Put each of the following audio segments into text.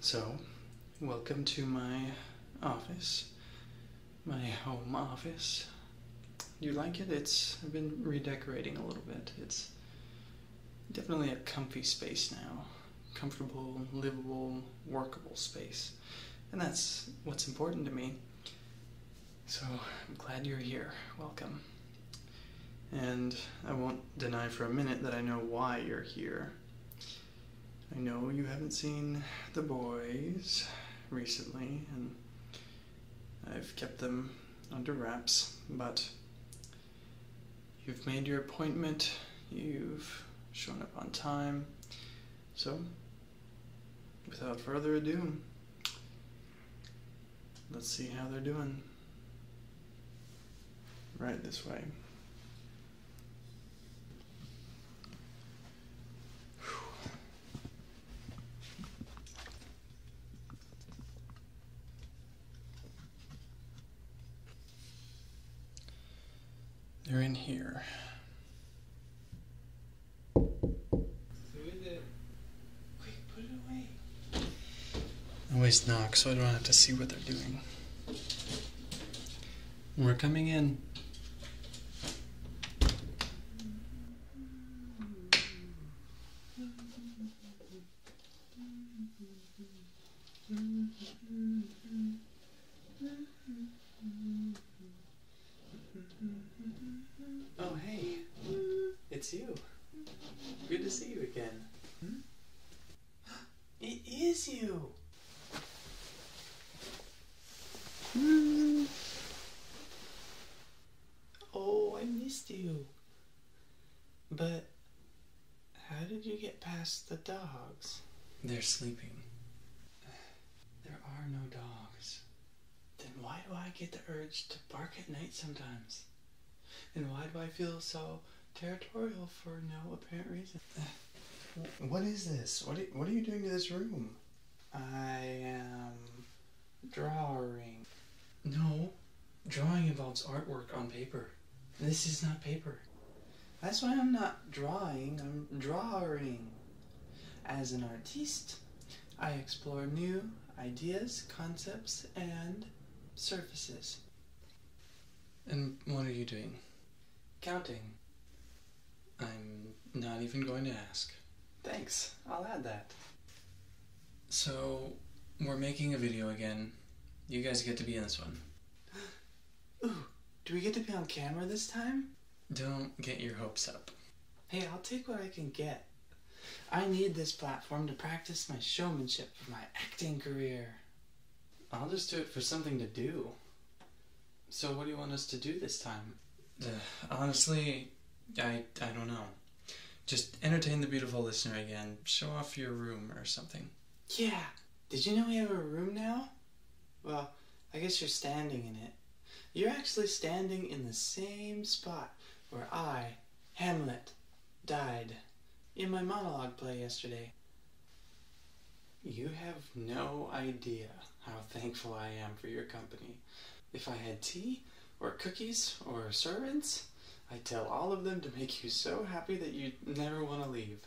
So, welcome to my office, my home office. you like it? It's I've been redecorating a little bit. It's definitely a comfy space now, comfortable, livable, workable space, and that's what's important to me. So I'm glad you're here. Welcome. And I won't deny for a minute that I know why you're here. I know you haven't seen the boys recently, and I've kept them under wraps, but you've made your appointment, you've shown up on time, so without further ado, Let's see how they're doing. Right this way. They're in here always knock so I don't have to see what they're doing. We're coming in. Oh, hey. It's you. Good to see you again. Hmm? It is you! Oh, I missed you. But how did you get past the dogs? They're sleeping. There are no dogs then why do I get the urge to bark at night sometimes? And why do I feel so territorial for no apparent reason? What is this? What are, what are you doing to this room? I am drawing. No, drawing involves artwork on paper. This is not paper. That's why I'm not drawing, I'm drawing. As an artist. I explore new ideas, concepts, and surfaces. And what are you doing? Counting. I'm not even going to ask. Thanks, I'll add that. So, we're making a video again. You guys get to be in this one. Ooh, do we get to be on camera this time? Don't get your hopes up. Hey, I'll take what I can get. I need this platform to practice my showmanship for my acting career. I'll just do it for something to do. So, what do you want us to do this time? Uh, honestly, I, I don't know. Just entertain the beautiful listener again. Show off your room or something. Yeah. Did you know we have a room now? Well, I guess you're standing in it. You're actually standing in the same spot where I, Hamlet, died in my monologue play yesterday. You have no idea how thankful I am for your company. If I had tea, or cookies, or servants, I tell all of them to make you so happy that you never want to leave.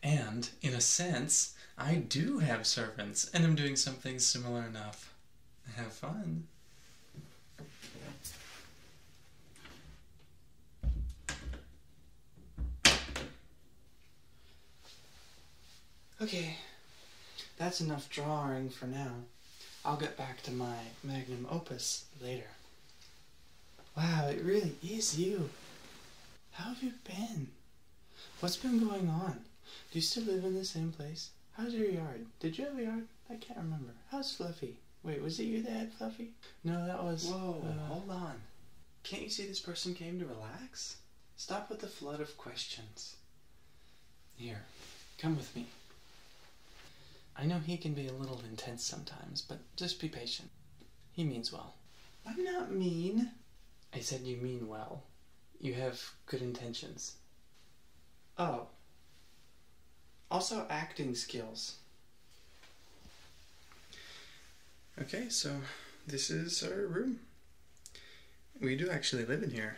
And, in a sense, I do have servants, and i am doing something similar enough. Have fun. Okay, that's enough drawing for now. I'll get back to my magnum opus later. Wow, it really is you. How have you been? What's been going on? Do you still live in the same place? How's your yard? Did you have a yard? I can't remember. How's Fluffy? Wait, was it you that Fluffy? No, that was. Whoa, uh, hold on. Can't you see this person came to relax? Stop with the flood of questions. Here, come with me. I know he can be a little intense sometimes, but just be patient. He means well. I'm not mean. I said you mean well you have good intentions. Oh. Also, acting skills. Okay, so this is our room. We do actually live in here.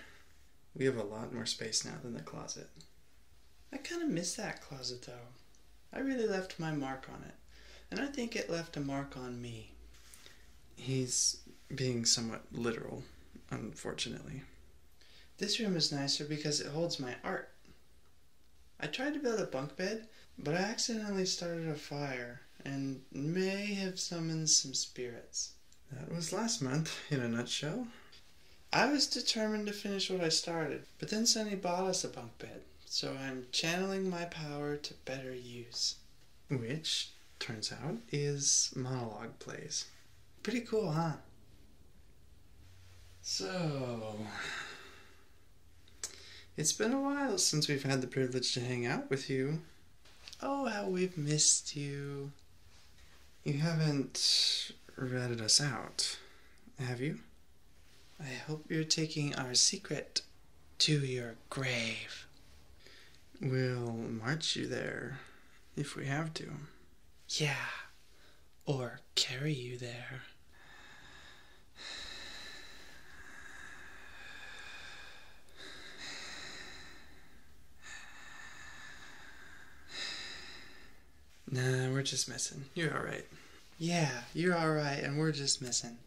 We have a lot more space now than the closet. I kind of miss that closet though. I really left my mark on it, and I think it left a mark on me. He's being somewhat literal, unfortunately. This room is nicer because it holds my art. I tried to build a bunk bed, but I accidentally started a fire and may have summoned some spirits. That was last month, in a nutshell. I was determined to finish what I started, but then Sunny bought us a bunk bed, so I'm channeling my power to better use which turns out is monologue plays. Pretty cool, huh? So, it's been a while since we've had the privilege to hang out with you. Oh, how we've missed you. You haven't ratted us out, have you? I hope you're taking our secret to your grave. We'll march you there if we have to. Yeah, or carry you there. Nah, we're just missing. You're alright. Yeah, you're alright, and we're just missing.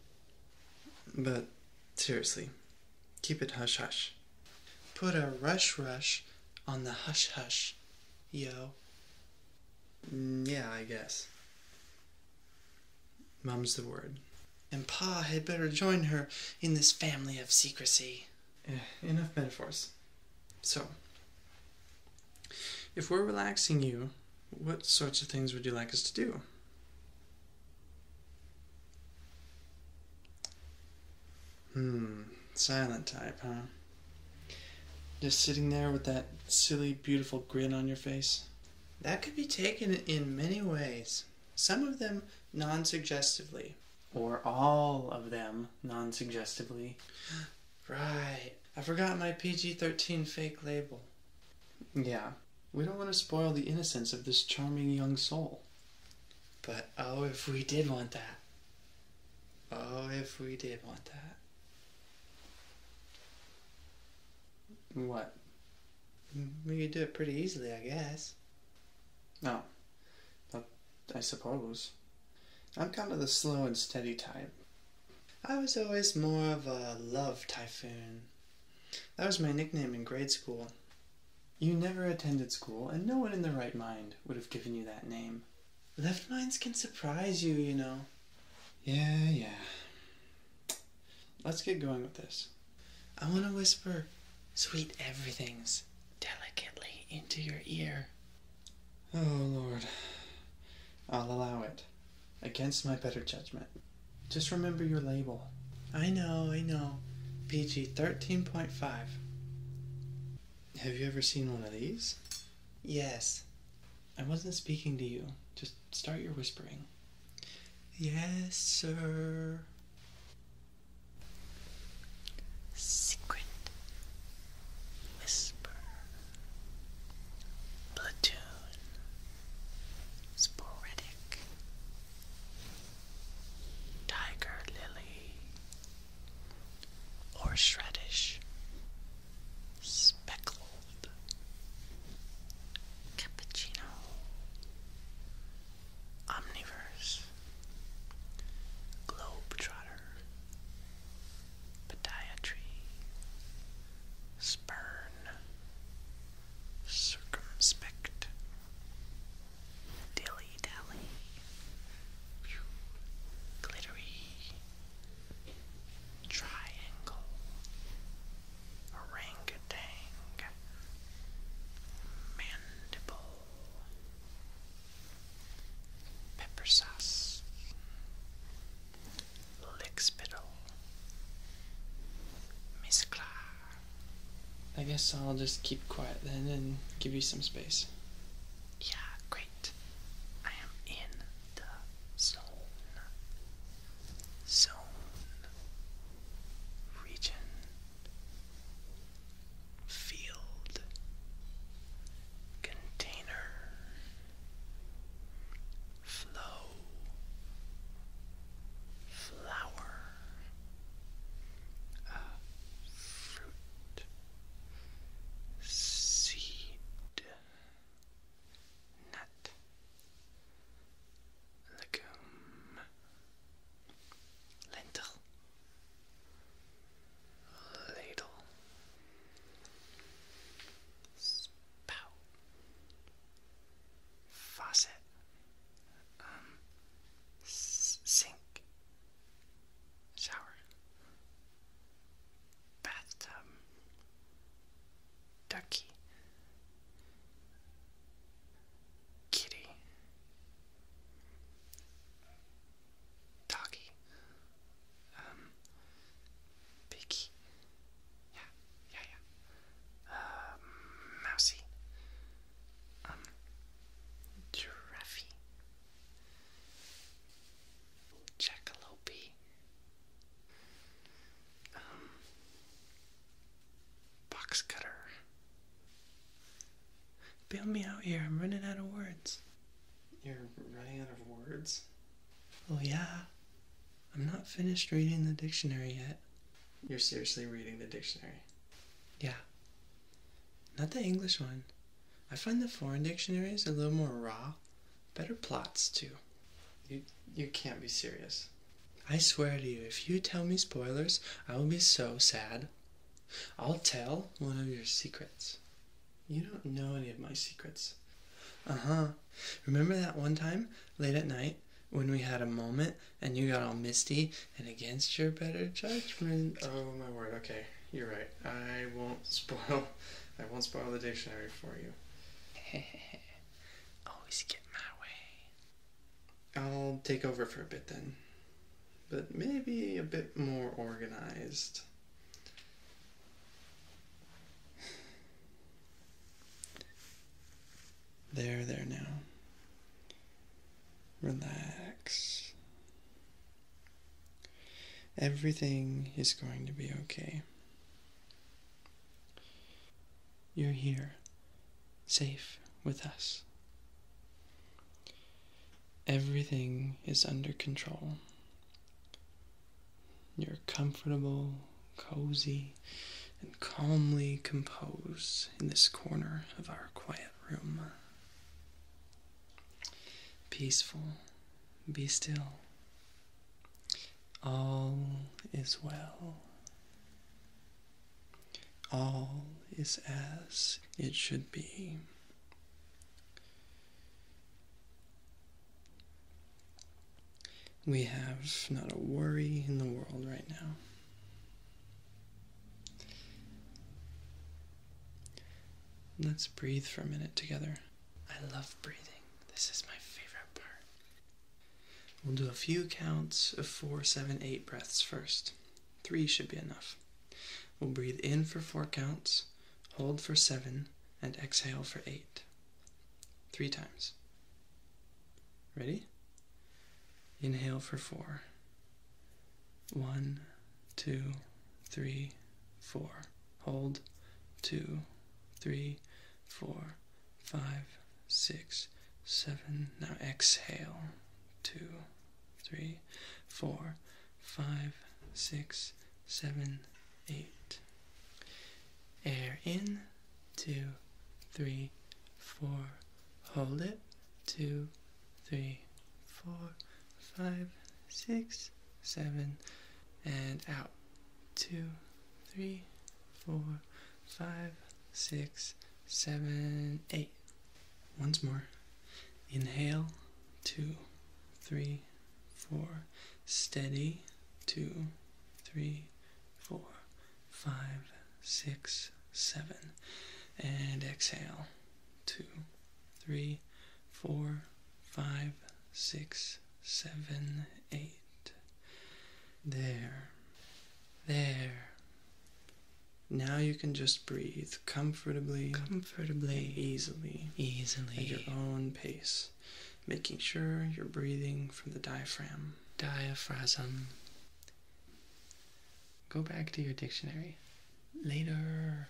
But seriously, Keep it hush hush. Put a rush rush on the hush hush, yo. Mm, yeah, I guess. Mum's the word. And Pa had better join her in this family of secrecy. Eh, enough metaphors. So, if we're relaxing you, what sorts of things would you like us to do? Hmm, silent type, huh? Just sitting there with that silly, beautiful grin on your face? That could be taken in many ways, some of them non suggestively, or all of them non suggestively. right, I forgot my PG 13 fake label. Yeah, we don't want to spoil the innocence of this charming young soul. But oh, if we did want that. Oh, if we did want that. What? We could do it pretty easily, I guess. No. But I suppose. I'm kind of the slow and steady type. I was always more of a love typhoon. That was my nickname in grade school. You never attended school, and no one in the right mind would have given you that name. Left minds can surprise you, you know. Yeah, yeah. Let's get going with this. I want to whisper sweet everythings delicately into your ear. Oh, Lord. I'll allow it against my better judgment. Just remember your label. I know, I know. PG 13.5. Have you ever seen one of these? Yes. I wasn't speaking to you. Just start your whispering. Yes, sir. Secret Whisper Platoon sporadic, tiger lily, or speckled, cappuccino, omniverse, globetrotter, podiatry, spurn circumspect, dilly dally, glittery, triangle, orangutan, mandible, pepper sauce, Lickspittle, Miss Clar. I guess I'll just keep quiet then and give you some space. Yeah, great. I am in the zone. Zone. Region. Field. Container flow, flower, a fruit, seed, nut, legume, lentil, ladle just faucet, um, sink, shower, bathtub, ducky, kitty, doggy, um, Vicky. Yeah, yeah, yeah. Mousy. Um, Giraffe. Um, Jackalope. Um, box cutter. Bail me out here, I'm running out of words. You're running out of words? Oh, yeah. I'm not finished reading the dictionary yet. You're seriously reading the dictionary? Yeah. Not the English one. I find the foreign dictionaries a little more raw, better plots too. You you can't be serious. I swear to you, if you tell me spoilers, I will be so sad. I'll tell one of your secrets. You don't know any of my secrets. Uh huh. Remember that one time late at night when we had a moment and you got all misty and against your better judgment? Oh my word, okay. You're right. I won't spoil I won't spoil the dictionary for you. Always get my way. I'll take over for a bit then. But maybe a bit more organized. There, there now. Relax. Everything is going to be okay. You're here, safe with us. Everything is under control. You're comfortable, cozy, and calmly composed in this corner of our quiet room. Peaceful, be still. All is well. All is as it should be. We have not a worry in the world right now. Let's breathe for a minute together. I love breathing. This is my favorite part. We'll do a few counts of four, seven, eight breaths first. Three should be enough. We'll breathe in for four counts, hold for seven, and exhale for eight three times. Ready? Inhale for four. One, two, three, four. Hold. Two, three, four, five, six, seven. Now exhale. Two, three, four, five, six, seven, eight. Air in, two, three, four. Hold it, two, three, four, five, six, seven, and out. Two, three, four, five, six, seven, eight. Once more. Inhale, two, three, three, four. Steady. Two, three, four, five, six, seven. And exhale. Two, three, four, five, six, seven, eight. There. There. Now you can just breathe comfortably, comfortably, easily, easily, at your own pace making sure you're breathing from the diaphragm. Diaphragm. Go back to your dictionary. Later.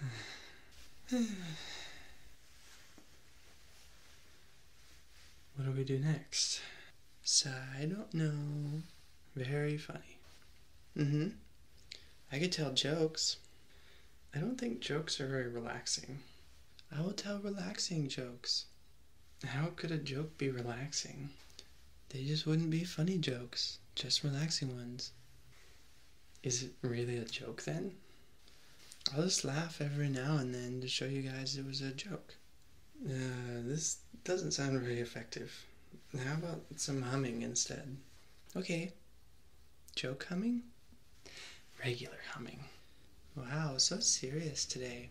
what do we do next? So I don't know. Very funny. Mm hmm. I could tell jokes. I don't think jokes are very relaxing. I will tell relaxing jokes. How could a joke be relaxing? They just wouldn't be funny jokes, just relaxing ones. Is it really a joke then? I'll just laugh every now and then to show you guys it was a joke. Uh, this doesn't sound very effective. How about some humming instead? Okay. Joke humming? Regular humming. Wow, so serious today.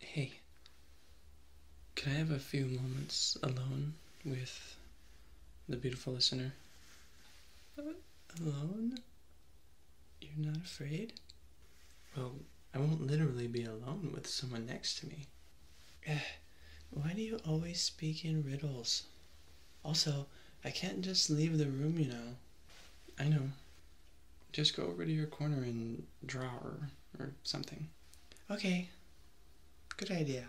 Hey, can I have a few moments alone with the beautiful listener? Alone? You're not afraid? Well, I won't literally be alone with someone next to me. Why do you always speak in riddles? Also, I can't just leave the room, you know. I know. Just go over to your corner and draw her or something. Okay, good idea.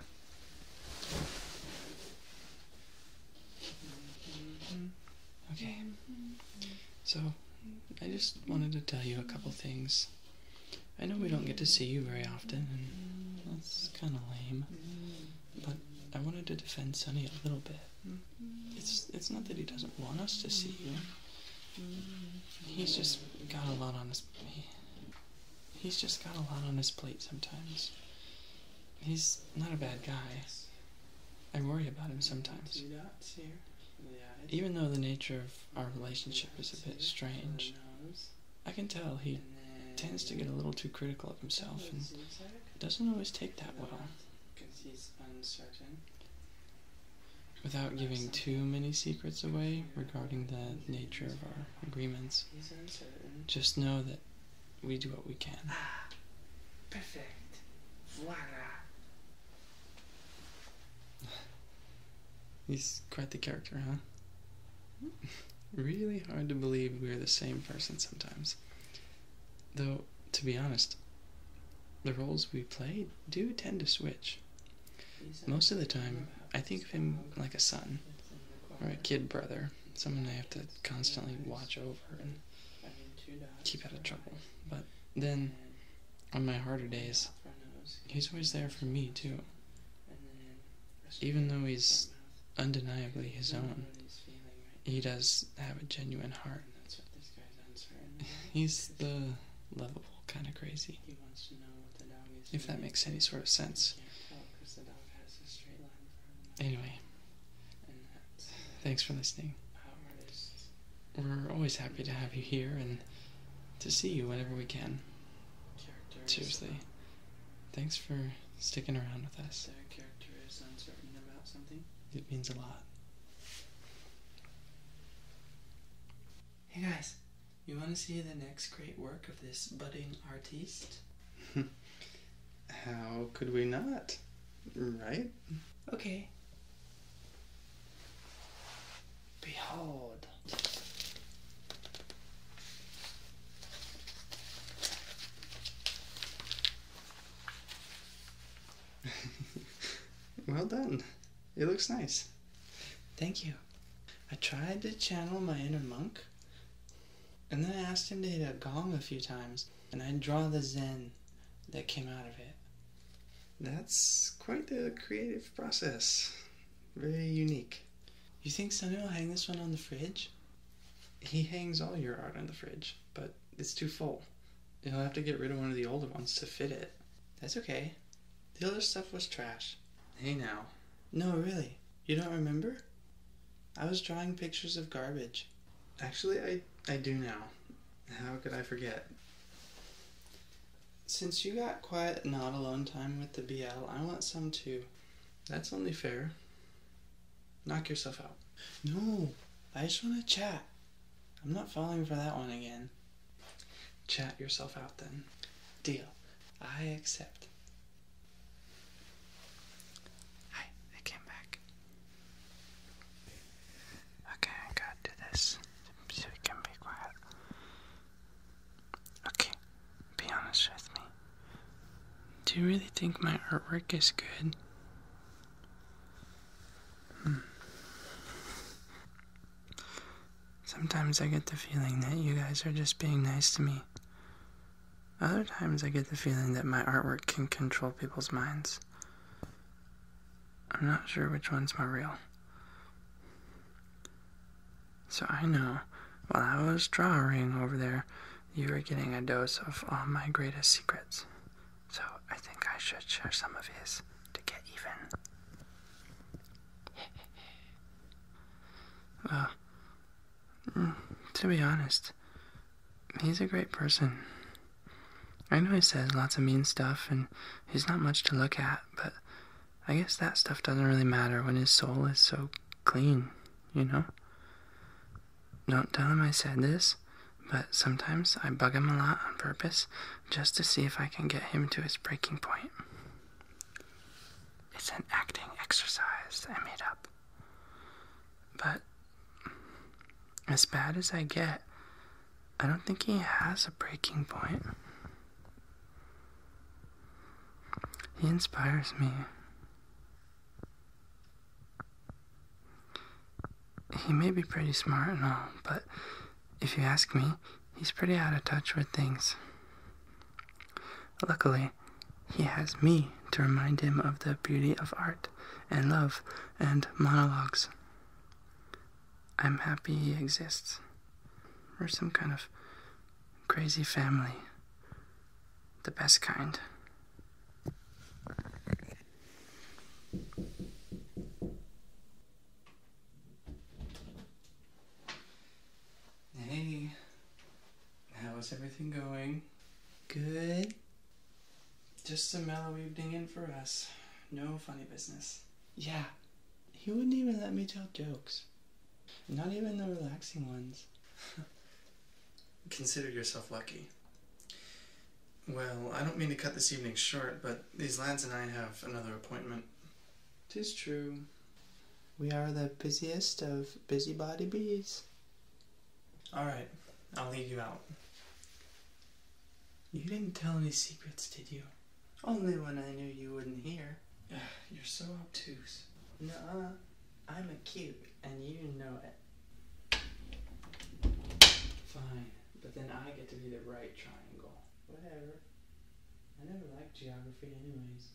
Okay, so I just wanted to tell you a couple things. I know we don't get to see you very often, and that's kind of lame, but I wanted to defend Sunny a little bit. It's it's not that he doesn't want us to see you. He's just got a lot on his he's just got a lot on his plate sometimes. He's not a bad guy. I worry about him sometimes. Even though the nature of our relationship is a bit strange, I can tell he tends to get a little too critical of himself and doesn't always take that well because he's uncertain. Without giving too many secrets away regarding the nature of our agreements, just know that we do what we can. Ah, perfect. Voila. He's quite the character, huh? Hmm? really hard to believe we're the same person sometimes. Though, to be honest, the roles we play do tend to switch. Most of the time, I think of him like a son or a kid brother, someone I have to constantly watch over and keep out of trouble. But then, on my harder days, he's always there for me too. Even though he's undeniably his own, he does have a genuine heart that's what this guy's answering. He's the lovable kind of crazy. If that makes any sort of sense. Anyway, thanks for listening. We're always happy to have you here and to see you whenever we can. Characters Seriously, thanks for sticking around with us. It means a lot. Hey guys, you want to see the next great work of this budding artiste? How could we not? Right? Okay. Behold. well done. It looks nice. Thank you. I tried to channel my inner monk, and then I asked him to hit a gong a few times, and I'd draw the zen that came out of it. That's quite a creative process. Very unique. You think Sunny will hang this one on the fridge? He hangs all your art on the fridge, but it's too full. You'll have to get rid of one of the older ones to fit it. That's okay. The other stuff was trash. Hey now. No, really. You don't remember? I was drawing pictures of garbage. Actually, I, I do now. How could I forget? Since you got quiet, not alone time with the BL, I want some too. That's only fair. Knock yourself out. No, I just want to chat. I'm not falling for that one again. Chat yourself out then. Deal. I accept. Hi, I came back. Okay, I gotta do this so we can be quiet. Okay, be honest with me. Do you really think my artwork is good? Hmm. Sometimes I get the feeling that you guys are just being nice to me. Other times I get the feeling that my artwork can control people's minds. I'm not sure which one's more real. So I know while I was drawing over there, you are getting a dose of all my greatest secrets. So I think I should share some of his to get even. well, mm, to be honest, he's a great person. I know he says lots of mean stuff and he's not much to look at, but I guess that stuff doesn't really matter when his soul is so clean, you know? Don't tell him I said this, but sometimes I bug him a lot on purpose just to see if I can get him to his breaking point. It's an acting exercise I made up. But as bad as I get, I don't think he has a breaking point. He inspires me. He may be pretty smart and all, but if you ask me, he's pretty out of touch with things. Luckily, he has me to remind him of the beauty of art and love and monologues. I'm happy he exists. We're some kind of crazy family the best kind. Hey, how's everything going? Good. Just a mellow evening in for us. No funny business. Yeah, he wouldn't even let me tell jokes. Not even the relaxing ones. Consider yourself lucky. Well, I don't mean to cut this evening short, but these lads and I have another appointment. Tis true. We are the busiest of busybody bees. All right, I'll leave you out. You didn't tell any secrets, did you? Only when I knew you wouldn't hear. You're so obtuse. nuh I'm acute and you know it. Fine, but then I get to be the right triangle. Whatever. I never liked geography, anyways.